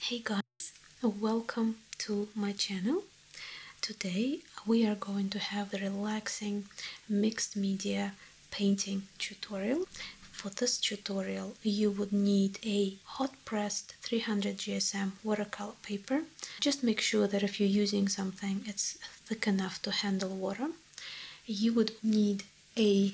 Hey guys, welcome to my channel. Today we are going to have a relaxing mixed media painting tutorial. For this tutorial you would need a hot pressed 300 GSM watercolor paper. Just make sure that if you're using something it's thick enough to handle water. You would need a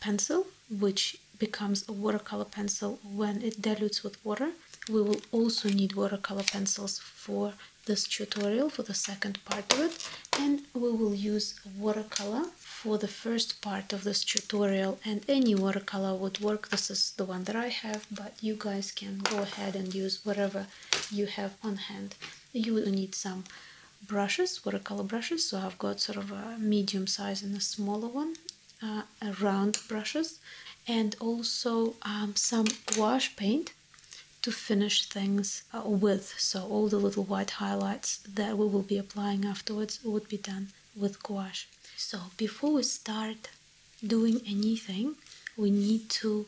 pencil, which becomes a watercolor pencil when it dilutes with water. We will also need watercolor pencils for this tutorial, for the second part of it. And we will use watercolor for the first part of this tutorial and any watercolor would work. This is the one that I have, but you guys can go ahead and use whatever you have on hand. You will need some brushes, watercolor brushes. So I've got sort of a medium size and a smaller one. Uh, round brushes and also um, some wash paint to finish things uh, with so all the little white highlights that we will be applying afterwards would be done with gouache so before we start doing anything we need to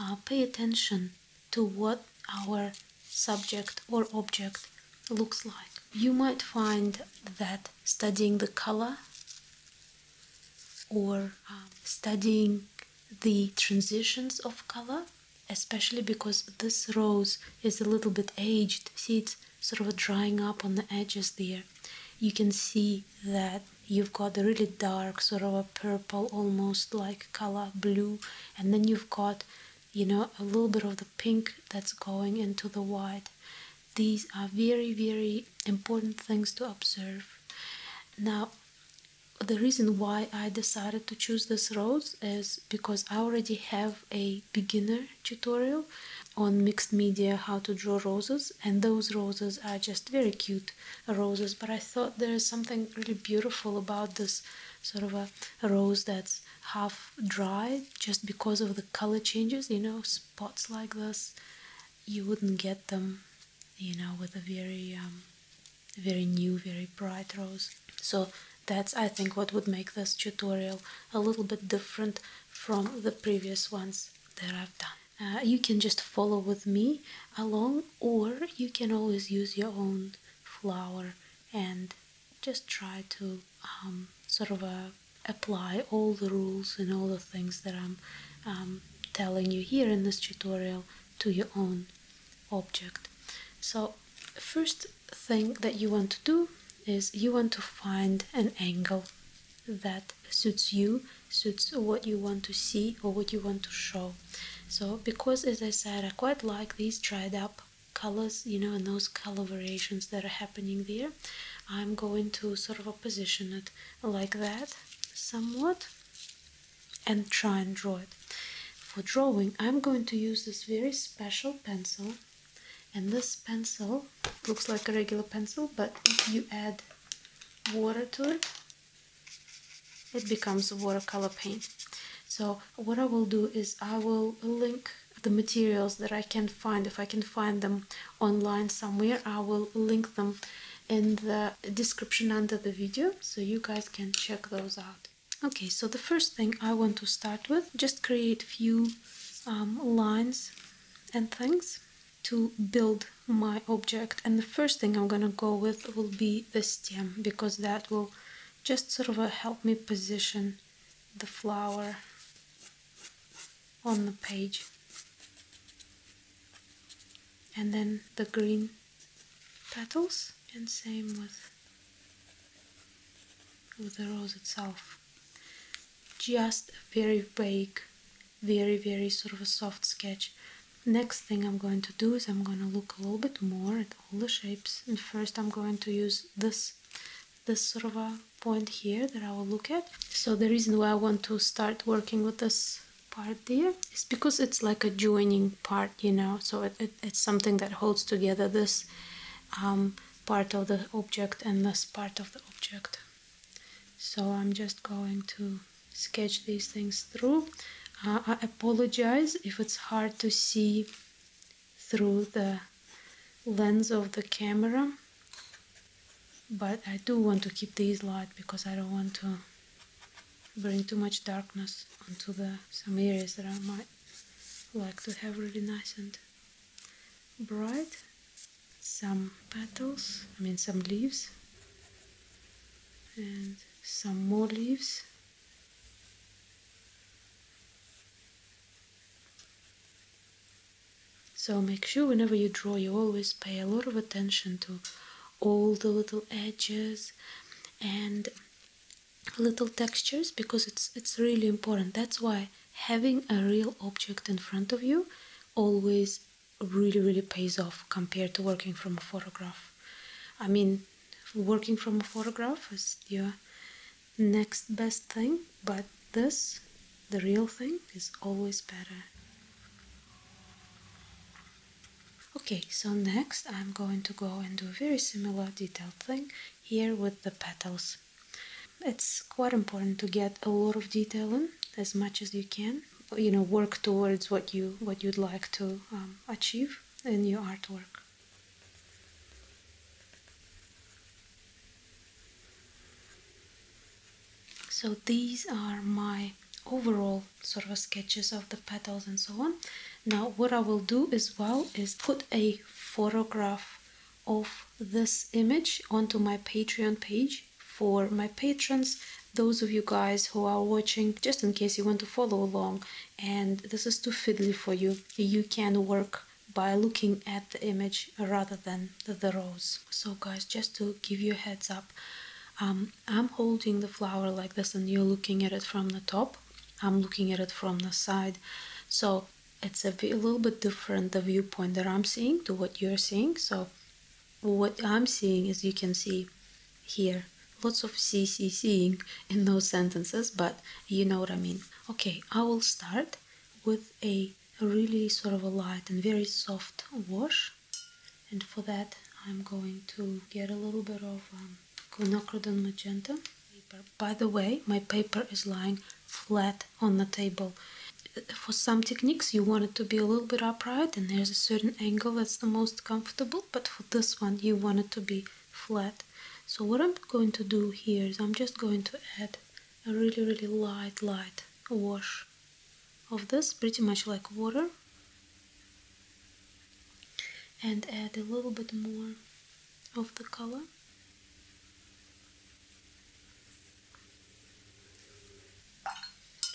uh, pay attention to what our subject or object looks like you might find that studying the color or ah. studying the transitions of color, especially because this rose is a little bit aged. See, it's sort of drying up on the edges there. You can see that you've got a really dark, sort of a purple, almost like color blue, and then you've got you know a little bit of the pink that's going into the white these are very, very important things to observe. Now, the reason why I decided to choose this rose is because I already have a beginner tutorial on mixed media how to draw roses and those roses are just very cute roses but I thought there is something really beautiful about this sort of a rose that's half dry just because of the color changes you know spots like this you wouldn't get them you know with a very um, very new very bright rose so that's i think what would make this tutorial a little bit different from the previous ones that i've done uh, you can just follow with me along or you can always use your own flower and just try to um, sort of uh, apply all the rules and all the things that I'm um, telling you here in this tutorial to your own object. So first thing that you want to do is you want to find an angle that suits you, suits what you want to see or what you want to show. So because as I said I quite like this dried up colors you know and those color variations that are happening there i'm going to sort of position it like that somewhat and try and draw it for drawing i'm going to use this very special pencil and this pencil looks like a regular pencil but if you add water to it it becomes watercolor paint so what i will do is i will link the materials that I can find. If I can find them online somewhere, I will link them in the description under the video so you guys can check those out. Okay, so the first thing I want to start with, just create few um, lines and things to build my object. And the first thing I'm gonna go with will be the stem because that will just sort of uh, help me position the flower on the page and then the green petals and same with with the rose itself just a very vague very very sort of a soft sketch next thing I'm going to do is I'm going to look a little bit more at all the shapes and first I'm going to use this this sort of a point here that I will look at. So the reason why I want to start working with this part there is because it's like a joining part, you know, so it's something that holds together this um, part of the object and this part of the object. So I'm just going to sketch these things through. Uh, I apologize if it's hard to see through the lens of the camera but I do want to keep these light because I don't want to bring too much darkness onto the some areas that I might like to have really nice and bright some petals I mean some leaves and some more leaves so make sure whenever you draw you always pay a lot of attention to all the little edges and little textures because it's it's really important. That's why having a real object in front of you always really really pays off compared to working from a photograph. I mean working from a photograph is you next best thing, but this, the real thing, is always better. Okay, so next I'm going to go and do a very similar detailed thing here with the petals. It's quite important to get a lot of detail in, as much as you can. You know, work towards what you what you'd like to um, achieve in your artwork. So these are my overall sort of sketches of the petals and so on. Now what I will do as well is put a photograph of this image onto my Patreon page for my patrons, those of you guys who are watching, just in case you want to follow along and this is too fiddly for you, you can work by looking at the image rather than the, rose so guys just to give you a heads up um, I'm holding the flower like this and you're looking at it from the top I'm looking at it from the side so it's a, little bit different the viewpoint that I'm seeing to what you're seeing so what I'm seeing is you can see here lots of CCCing in those sentences but you know what I mean okay I will start with a really sort of a light and very soft wash and for that I'm going to get a little bit of um, quinacridone magenta paper. By the way, my paper is lying flat on the table. For some techniques you want it to be a little bit upright and there's a certain angle that's the most comfortable but for this one you want it to be flat. So what I'm going to do here is I'm just going to add a really really light light wash of this pretty much like water and add a little bit more of the color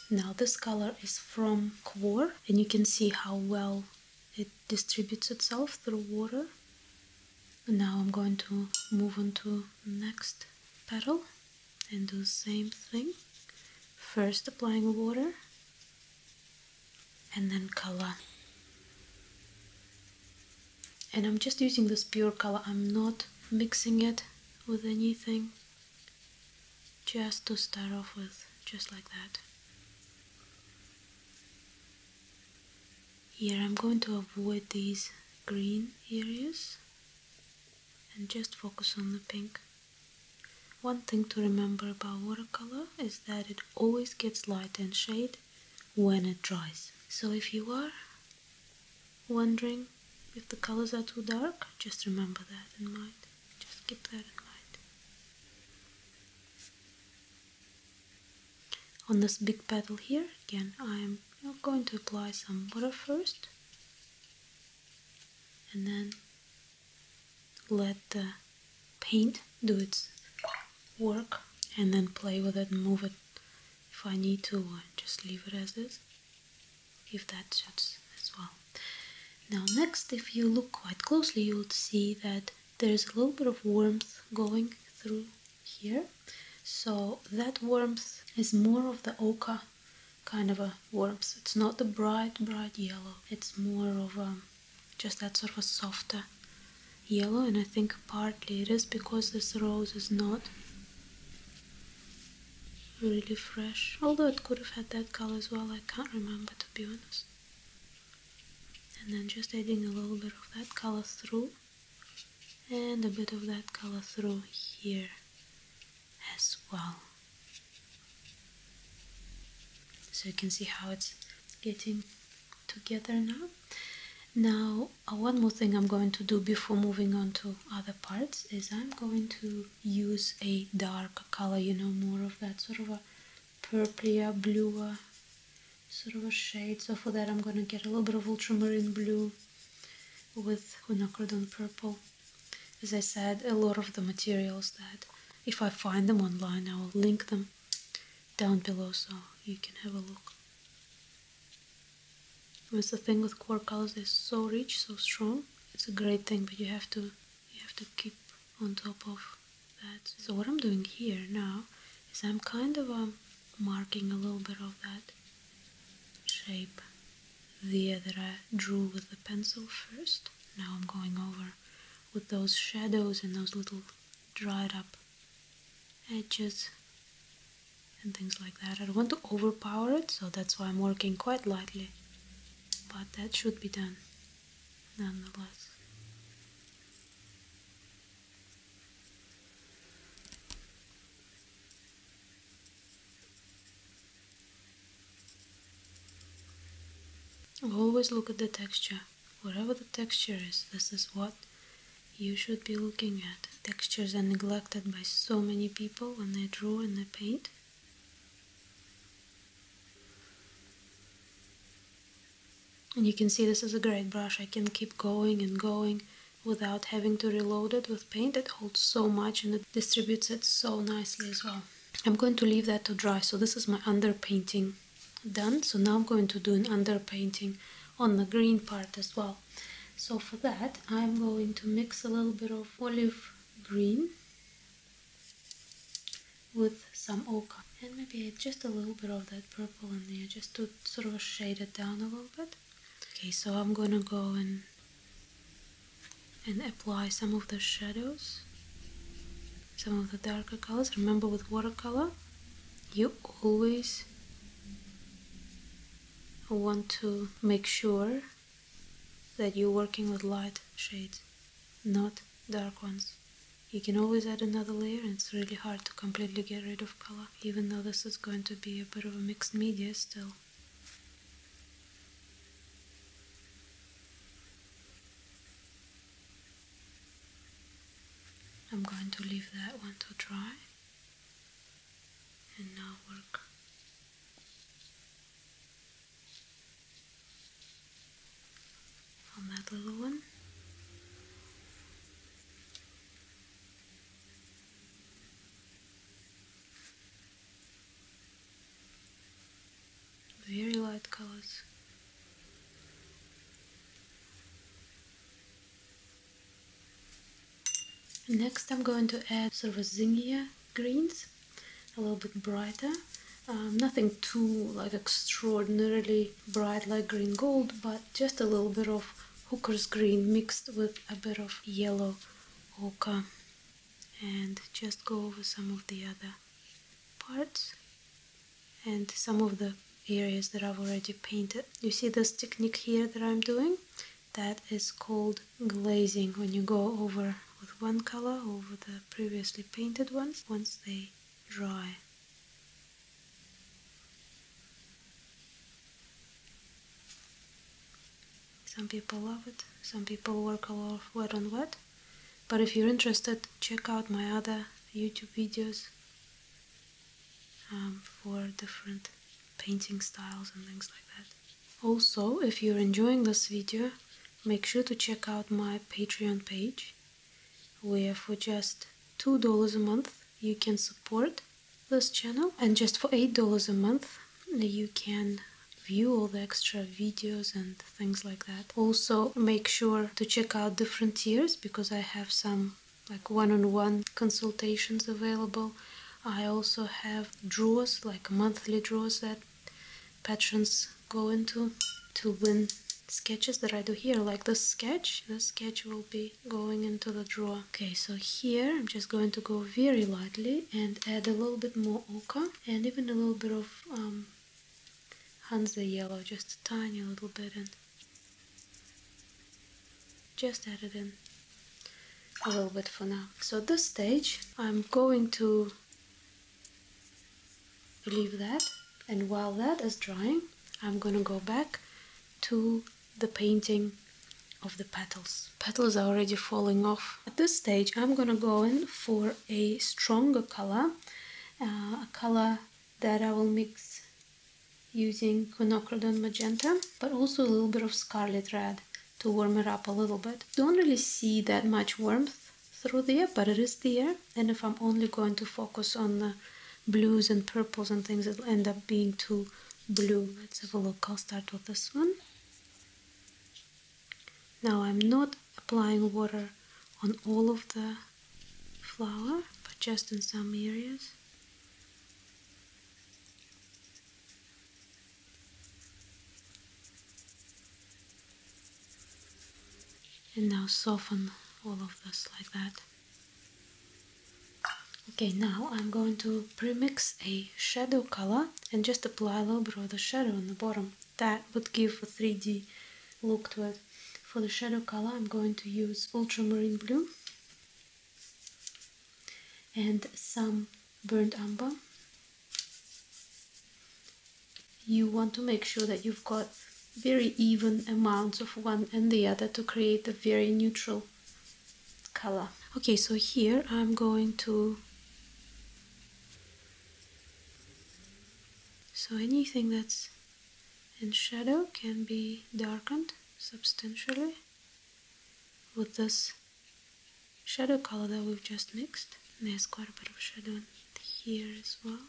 now this color is from Quor and you can see how well it distributes itself through water now I'm going to move on to next petal and do the same thing first applying water and then color and I'm just using this pure color I'm not mixing it with anything just to start off with just like that here I'm going to avoid these green areas and just focus on the pink one thing to remember about watercolor is that it always gets light and shade when it dries so if you are wondering if the colors are too dark just remember that in mind just keep that in mind on this big petal here again I'm going to apply some water first and then let the paint do its work and then play with it move it if I need to or just leave it as is if that suits as well now next if you look quite closely you'll see that there's a little bit of warmth going through here so that warmth is more of the oka, kind of a warmth it's not the bright bright yellow it's more of a um, just that sort of a softer yellow and I think partly it is because this rose is not really fresh although it could have had that color as well I can't remember to be honest and then just adding a little bit of that color through and a bit of that color through here as well so you can see how it's getting together now now uh, one more thing I'm going to do before moving on to other parts is I'm going to use a dark color you know more of that sort of a purplier bluer sort of a shade. So for that I'm going to get a little bit of ultramarine blue with quinacridone purple. As I said, a lot of the materials that if I find them online I will link them down below so you can have a look. It's the thing with core colors, they're so rich, so strong. It's a great thing, but you have to you have to keep on top of that. So what I'm doing here now is I'm kind of um, marking a little bit of that shape there that I drew with the pencil first. Now I'm going over with those shadows and those little dried up edges and things like that. I don't want to overpower it, so that's why I'm working quite lightly. But that should be done nonetheless. Always look at the texture. Whatever the texture is, this is what you should be looking at. Textures are neglected by so many people when they draw and they paint. And you can see this is a great brush. I can keep going and going without having to reload it with paint. It holds so much and it distributes it so nicely as well. I'm going to leave that to dry. So this is my underpainting done. So now I'm going to do an underpainting on the green part as well. So for that, I'm going to mix a little bit of olive green with some ochre and maybe just a little bit of that purple in there just to sort of shade it down a little bit. Okay, so I'm gonna go and and apply some of the shadows, some of the darker colors. Remember with watercolor, you always want to make sure that you're working with light shades, not dark ones. You can always add another layer and it's really hard to completely get rid of color even though this is going to be a bit of a mixed media still. I'm going to leave that one to dry and now work on that little one. Very light colors. Next I'm going to add sort of a zingier greens, a little bit brighter. Um, nothing too like extraordinarily bright like green gold, but just a little bit of hooker's green mixed with a bit of yellow ochre and just go over some of the other parts and some of the areas that I've already painted. You see this technique here that I'm doing? That is called glazing when you go over with one color over the previously painted ones once they dry. Some people love it, some people work a lot of wet on wet. But if you're interested, check out my other YouTube videos um, for different painting styles and things like that. Also, if you're enjoying this video, make sure to check out my Patreon page, where for just $2 a month you can support this channel and just for eight dollars a month you can view all the extra videos and things like that also make sure to check out different tiers because i have some like one-on-one consultations available i also have draws like monthly draws that patrons go into to win sketches that i do here like this sketch this sketch will be going into the drawer. Okay, so here I'm just going to go very lightly and add a little bit more ochre and even a little bit of um, Hansa yellow, just a tiny little bit and just add it in a little bit for now. So at this stage I'm going to leave that and while that is drying I'm gonna go back to the painting of the petals. Petals are already falling off. At this stage I'm gonna go in for a stronger color, uh, a color that I will mix using quinacridone magenta, but also a little bit of scarlet red to warm it up a little bit. Don't really see that much warmth through there, but it is there. And if I'm only going to focus on the blues and purples and things that end up being too blue let's have a look i'll start with this one now i'm not applying water on all of the flower but just in some areas and now soften all of this like that Okay, now I'm going to premix a shadow color and just apply a little bit of the shadow on the bottom. That would give a 3D look to it. For the shadow color, I'm going to use ultramarine blue and some burnt umber. You want to make sure that you've got very even amounts of one and the other to create a very neutral color. Okay, so here I'm going to so anything that's in shadow can be darkened substantially with this shadow color that we've just mixed. there's quite a bit of shadow here as well.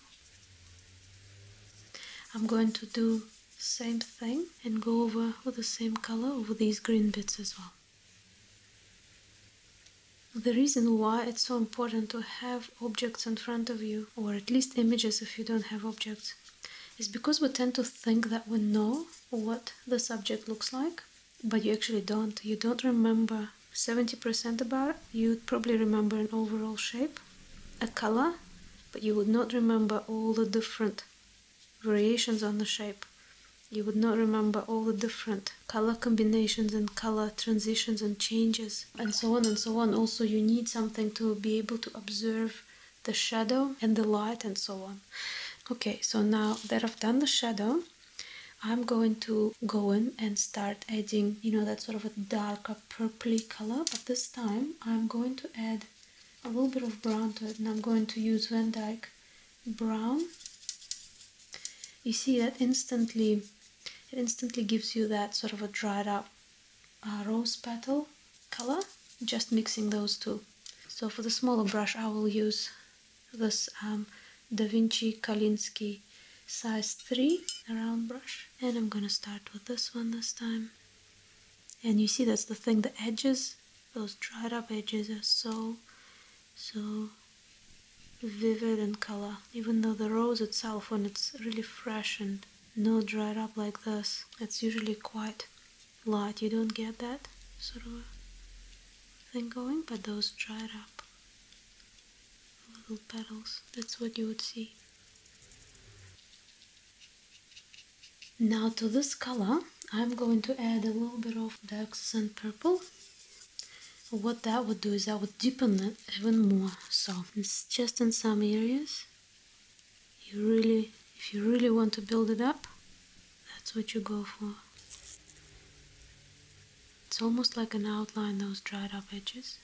I'm going to do same thing and go over with the same color over these green bits as well. The reason why it's so important to have objects in front of you, or at least images if you don't have objects, is because we tend to think that we know what the subject looks like, but you actually don't. You don't remember 70% about it. You probably remember an overall shape, a color, but you would not remember all the different variations on the shape. You would not remember all the different color combinations and color transitions and changes and so on and so on. Also, you need something to be able to observe the shadow and the light and so on. Okay, so now that I've done the shadow, I'm going to go in and start adding, you know, that sort of a darker purply color. But this time I'm going to add a little bit of brown to it and I'm going to use Van Dyke brown you see that instantly it instantly gives you that sort of a dried up uh, rose petal color just mixing those two so for the smaller brush I will use this um, Da Vinci Kalinsky size 3 round brush and I'm gonna start with this one this time and you see that's the thing the edges those dried up edges are so so vivid in color even though the rose itself when it's really fresh and not dried up like this it's usually quite light you don't get that sort of thing going but those dried up little petals that's what you would see now to this color I'm going to add a little bit of dark sand purple. What that would do is that would deepen it even more. So it's just in some areas. You really, if you really want to build it up, that's what you go for. It's almost like an outline, those dried up edges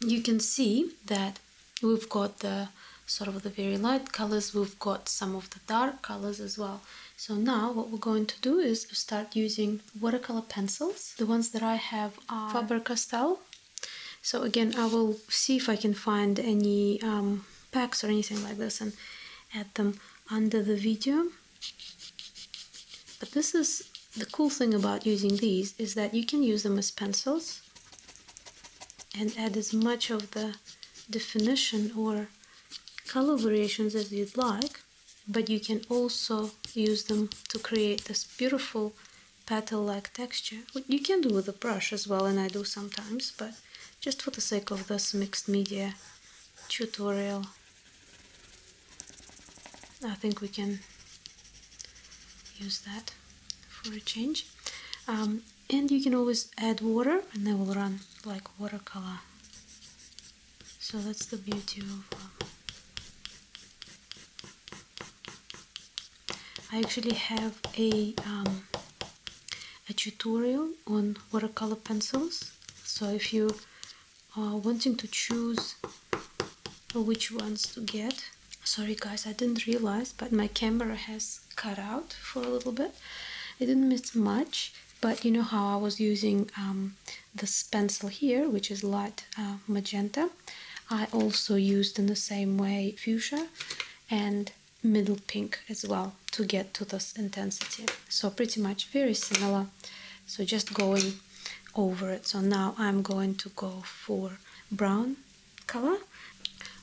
you can see that we've got the sort of the very light colors we've got some of the dark colors as well so now what we're going to do is start using watercolor pencils the ones that I have are Faber-Castell so again I will see if I can find any um, packs or anything like this and add them under the video but this is the cool thing about using these is that you can use them as pencils and add as much of the definition or color variations as you'd like but you can also use them to create this beautiful petal-like texture you can do with a brush as well and I do sometimes but just for the sake of this mixed media tutorial I think we can use that for a change um, and you can always add water and they will run like watercolor so that's the beauty of um, I actually have a um, a tutorial on watercolor pencils so if you are wanting to choose which ones to get sorry guys i didn't realize but my camera has cut out for a little bit i didn't miss much but you know how i was using um, this pencil here which is light uh, magenta i also used in the same way fuchsia and middle pink as well to get to this intensity so pretty much very similar so just going over it so now i'm going to go for brown color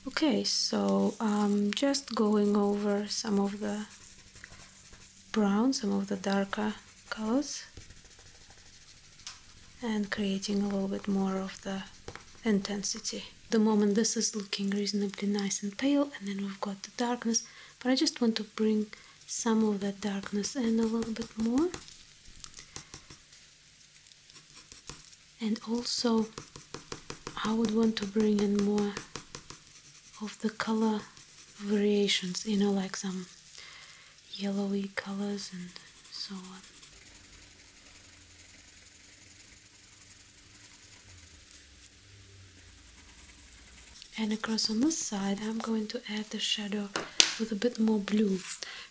okay so um, just going over some of the brown some of the darker colors and creating a little bit more of the intensity the moment this is looking reasonably nice and pale and then we've got the darkness but I just want to bring some of that darkness in a little bit more and also I would want to bring in more of the color variations you know like some yellowy colors and so on and across on this side I'm going to add the shadow with a bit more blue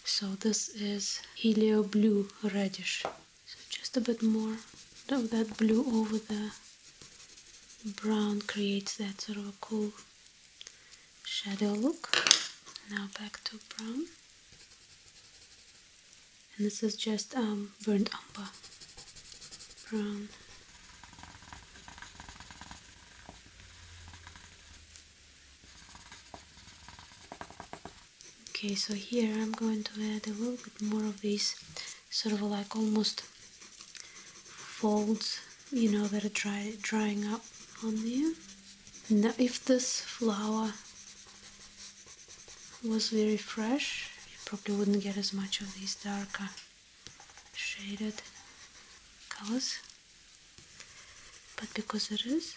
so this is helio blue blue reddish. So just a bit more So that blue over the brown creates that sort of a cool shadow look. Now back to brown. And this is just um, burnt umber brown okay so here I'm going to add a little bit more of these sort of like almost folds you know that are dry, drying up on there. now if this flower was very fresh you probably wouldn't get as much of these darker shaded colors but because it is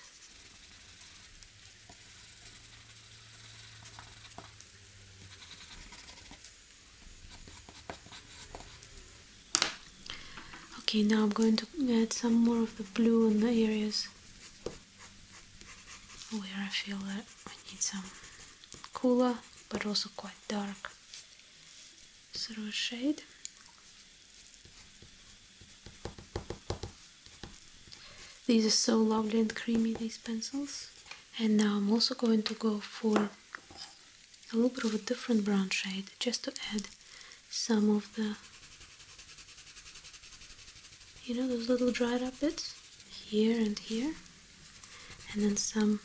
okay now I'm going to add some more of the blue in the areas where I feel that I need some cooler but also quite dark sort of shade these are so lovely and creamy, these pencils. And now I'm also going to go for a little bit of a different brown shade, just to add some of the, you know, those little dried up bits, here and here. And then some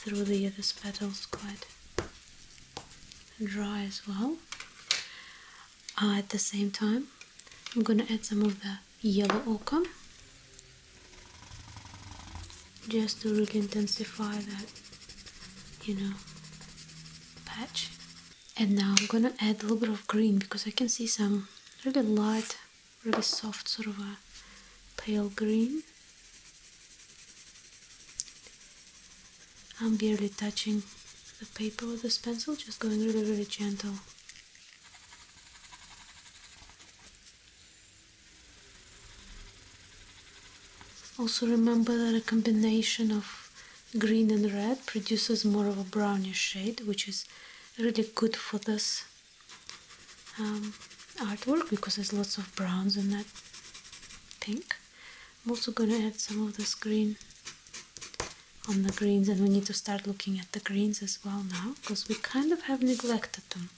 through the other petals, quite dry as well. Uh, at the same time. I'm gonna add some of the yellow ochre just to really intensify that, you know, patch. And now I'm gonna add a little bit of green because I can see some really light, really soft, sort of a pale green. I'm barely touching the paper with this pencil, just going really, really gentle. Also remember that a combination of green and red produces more of a brownish shade, which is really good for this um, artwork because there's lots of browns in that pink. I'm also gonna add some of this green on the greens and we need to start looking at the greens as well now because we kind of have neglected them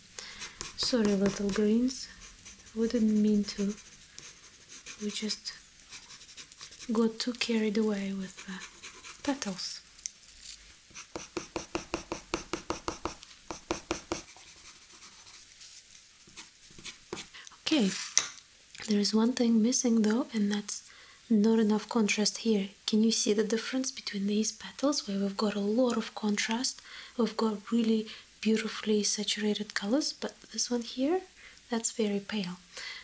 sorry little greens wouldn't mean to we just got too carried away with the petals okay there is one thing missing though, and that's not enough contrast here. Can you see the difference between these petals where we've got a lot of contrast? We've got really beautifully saturated colors, but this one here, that's very pale.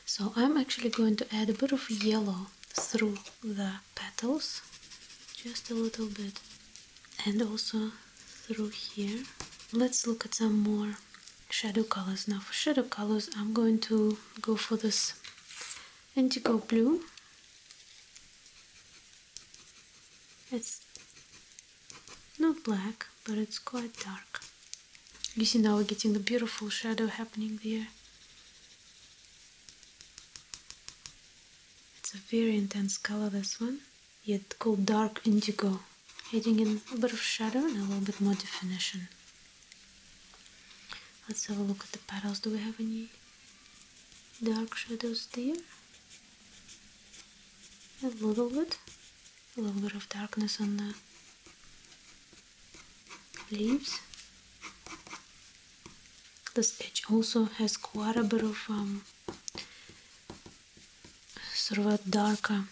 So I'm actually going to add a bit of yellow through the petals, just a little bit, and also through here. Let's look at some more shadow colors now for shadow colors I'm going to go for this indigo blue it's not black but it's quite dark you see now we're getting the beautiful shadow happening there it's a very intense color this one yet called dark indigo adding in a bit of shadow and a little bit more definition. Let's have a look at the petals. Do we have any dark shadows there? A little bit. A little bit of darkness on the leaves. This edge also has quite a bit of um, sort of a darker,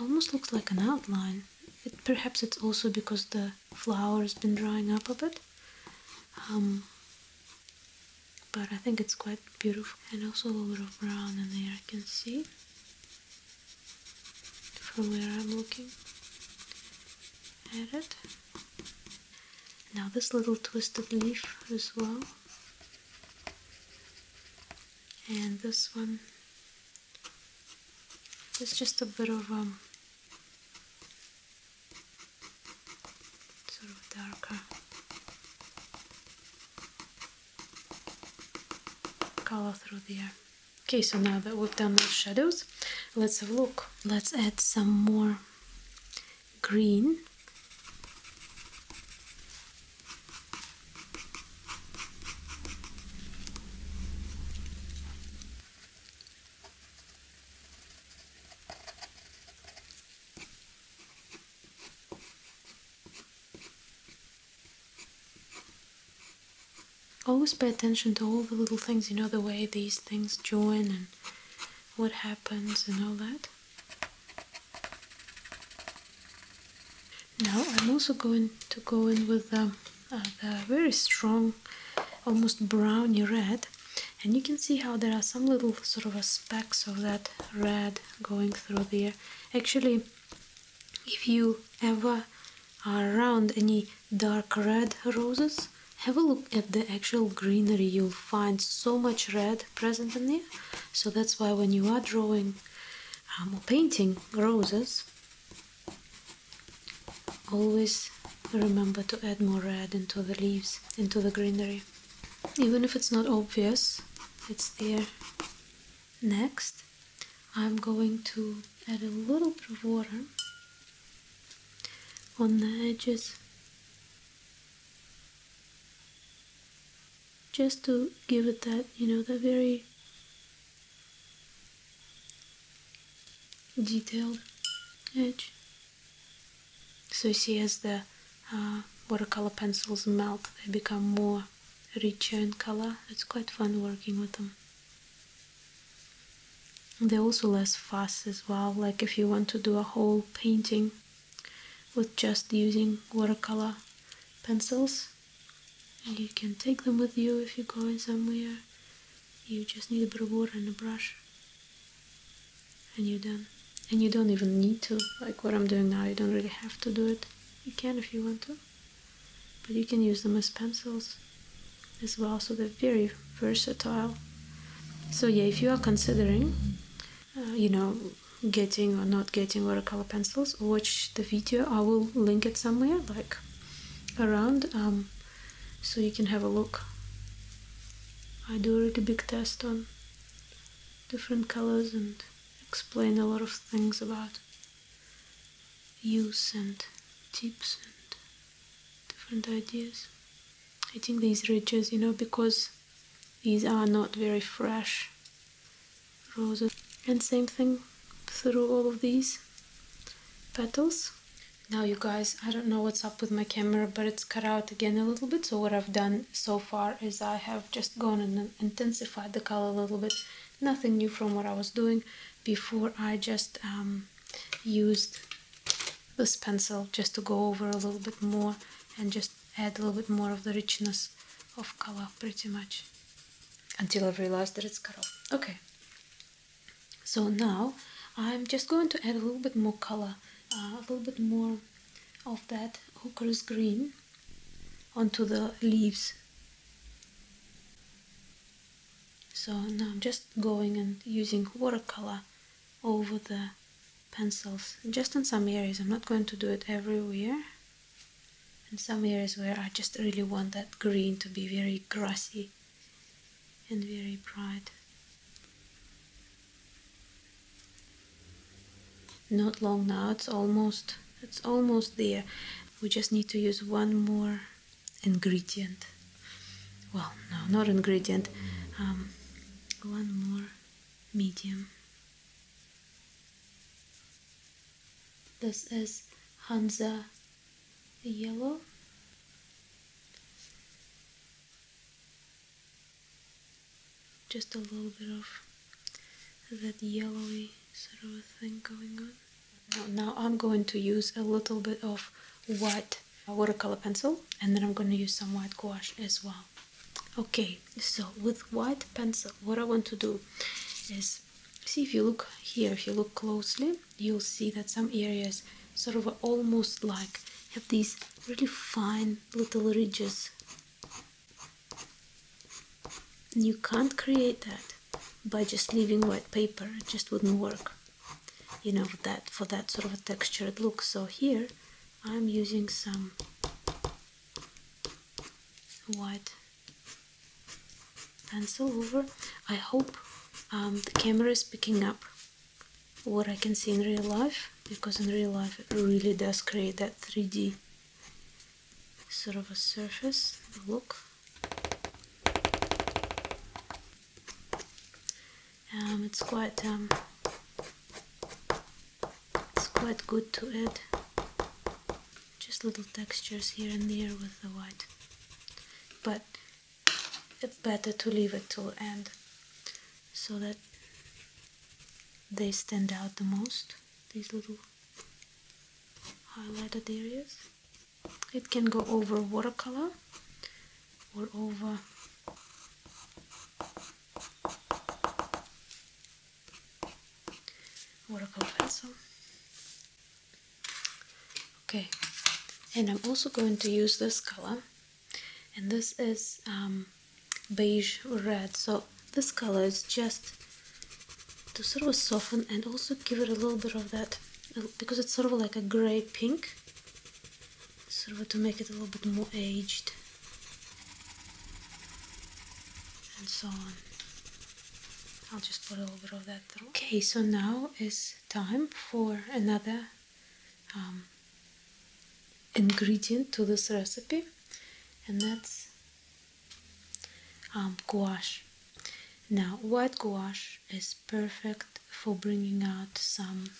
almost looks like an outline. It, perhaps it's also because the flower has been drying up a bit. Um, but I think it's quite beautiful. And also a little bit of brown in there I can see from where I'm looking at it. Now this little twisted leaf as well and this one is just a bit of um, sort of darker color through there. Okay, so now that we've done those shadows, let's have a look. Let's add some more green Always pay attention to all the little things, you know, the way these things join and what happens and all that now I'm also going to go in with the, um, very strong almost browny red and you can see how there are some little sort of specks of that red going through there actually if you ever are around any dark red roses have a look at the actual greenery you'll find so much red present in there so that's why when you are drawing um, uh, or painting roses, always remember to add more red into the leaves, into the greenery. Even if it's not obvious, it's there. Next, I'm going to add a little bit of water on the edges just to give it that, you know, that very detailed edge. So you see as the uh, watercolor pencils melt, they become more richer in color. It's quite fun working with them. they're also less fast as well, like if you want to do a whole painting with just using watercolor pencils, you can take them with you if you're going somewhere. You just need a bit of water and a brush, and you're done. And you don't even need to, like what I'm doing now, you don't really have to do it. You can if you want to, but you can use them as pencils as well, so they're very versatile. So, yeah, if you are considering, uh, you know, getting or not getting watercolor pencils, watch the video. I will link it somewhere, like around, um, so you can have a look. I do a really big test on different colors and explain a lot of things about use and tips and different ideas. I think these ridges, you know, because these are not very fresh and same thing through all of these petals now you guys I don't know what's up with my camera but it's cut out again a little bit so what I've done so far is I have just gone and intensified the color a little bit nothing new from what I was doing before I just um, used this pencil just to go over a little bit more and just add a little bit more of the richness of color pretty much until I realized that it's cut off. Okay, so now I'm just going to add a little bit more color, uh, a little bit more of that hooker's green onto the leaves. So now I'm just going and using watercolor over the pencils, just in some areas. I'm not going to do it everywhere. In some areas where I just really want that green to be very grassy and very bright. Not long now, it's almost it's almost there. We just need to use one more ingredient. Well, no, not ingredient. Um, one more medium. This is Hansa Yellow. Just a little bit of that yellowy sort of thing going on. now I'm going to use a little bit of white watercolor pencil and then I'm going to use some white gouache as well. Okay, so with white pencil, what I want to do is See, if you look here, if you look closely, you'll see that some areas sort of almost like have these really fine little ridges. you can't create that by just leaving white paper, it just wouldn't work. You know, that for that sort of a textured look. So here I'm using some white pencil over I hope um, the camera is picking up what I can see in real life because in real life it really does create that 3D sort of a surface look um, it's quite um, it's quite good to add just little textures here and there with the white. But it's better to leave it till end so that they stand out the most, these little highlighted areas. It can go over watercolor or over watercolor pencil. Okay, and I'm also going to use this color, and this is um, beige red. So this color is just to sort of soften and also give it a little bit of that because it's sort of like a gray pink sort of to make it a little bit more aged and so on I'll just put a little bit of that Okay, so now is time for another um, ingredient to this recipe, and that's um, gouache. Now, white gouache is perfect for bringing out some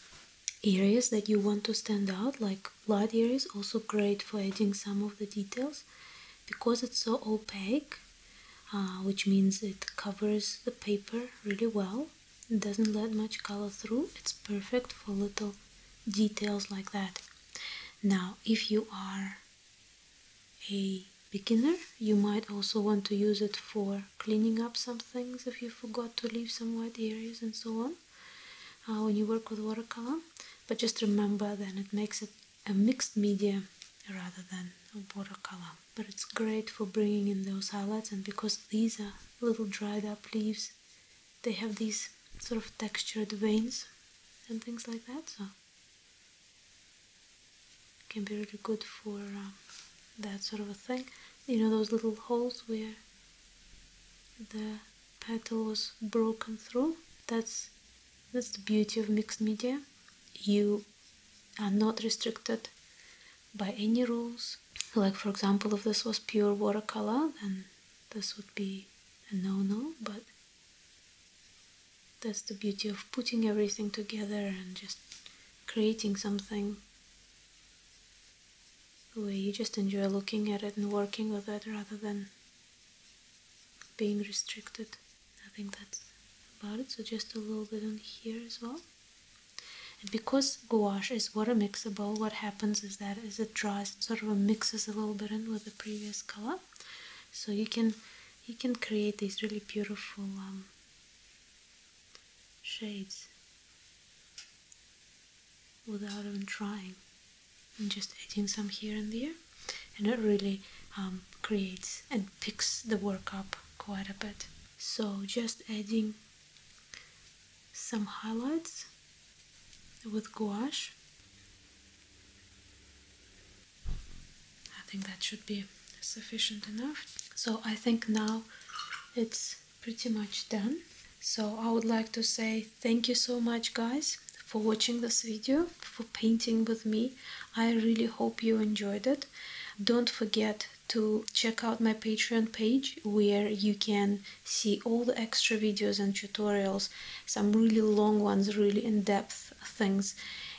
areas that you want to stand out, like light areas, also great for adding some of the details because it's so opaque uh, which means it covers the paper really well it doesn't let much color through it's perfect for little details like that now if you are a beginner you might also want to use it for cleaning up some things if you forgot to leave some white areas and so on uh, when you work with watercolor but just remember then it makes it a mixed media rather than a watercolor. But it's great for bringing in those highlights and because these are little dried up leaves, they have these sort of textured veins and things like that, so can be really good for um, that sort of a thing. You know those little holes where the petal was broken through? That's that's the beauty of mixed media. You are not restricted by any rules. Like, for example, if this was pure watercolor, then this would be a no no, but that's the beauty of putting everything together and just creating something where you just enjoy looking at it and working with it rather than being restricted. I think that's about it. So just a little bit on here as well. And because gouache is water mixable, what happens is that as it dries, it sort of mixes a little bit in with the previous color. So you can you can create these really beautiful um, shades without even trying and just adding some here and there and it really um, creates and picks the work up quite a bit so just adding some highlights with gouache I think that should be sufficient enough so I think now it's pretty much done so I would like to say thank you so much guys for watching this video for painting with me i really hope you enjoyed it don't forget to check out my patreon page where you can see all the extra videos and tutorials some really long ones really in-depth things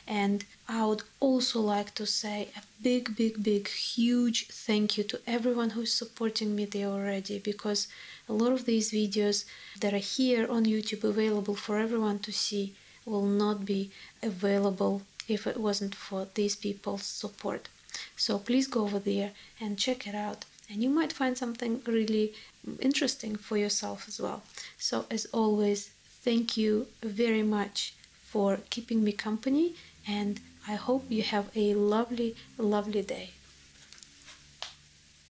and i would also like to say a big big big huge thank you to everyone who's supporting me there already because a lot of these videos that are here on YouTube available for everyone to see will not be available if it wasn't for these people's support. So please go over there and check it out and you might find something really interesting for yourself as well. So as always, thank you very much for keeping me company and I hope you have a lovely, lovely day.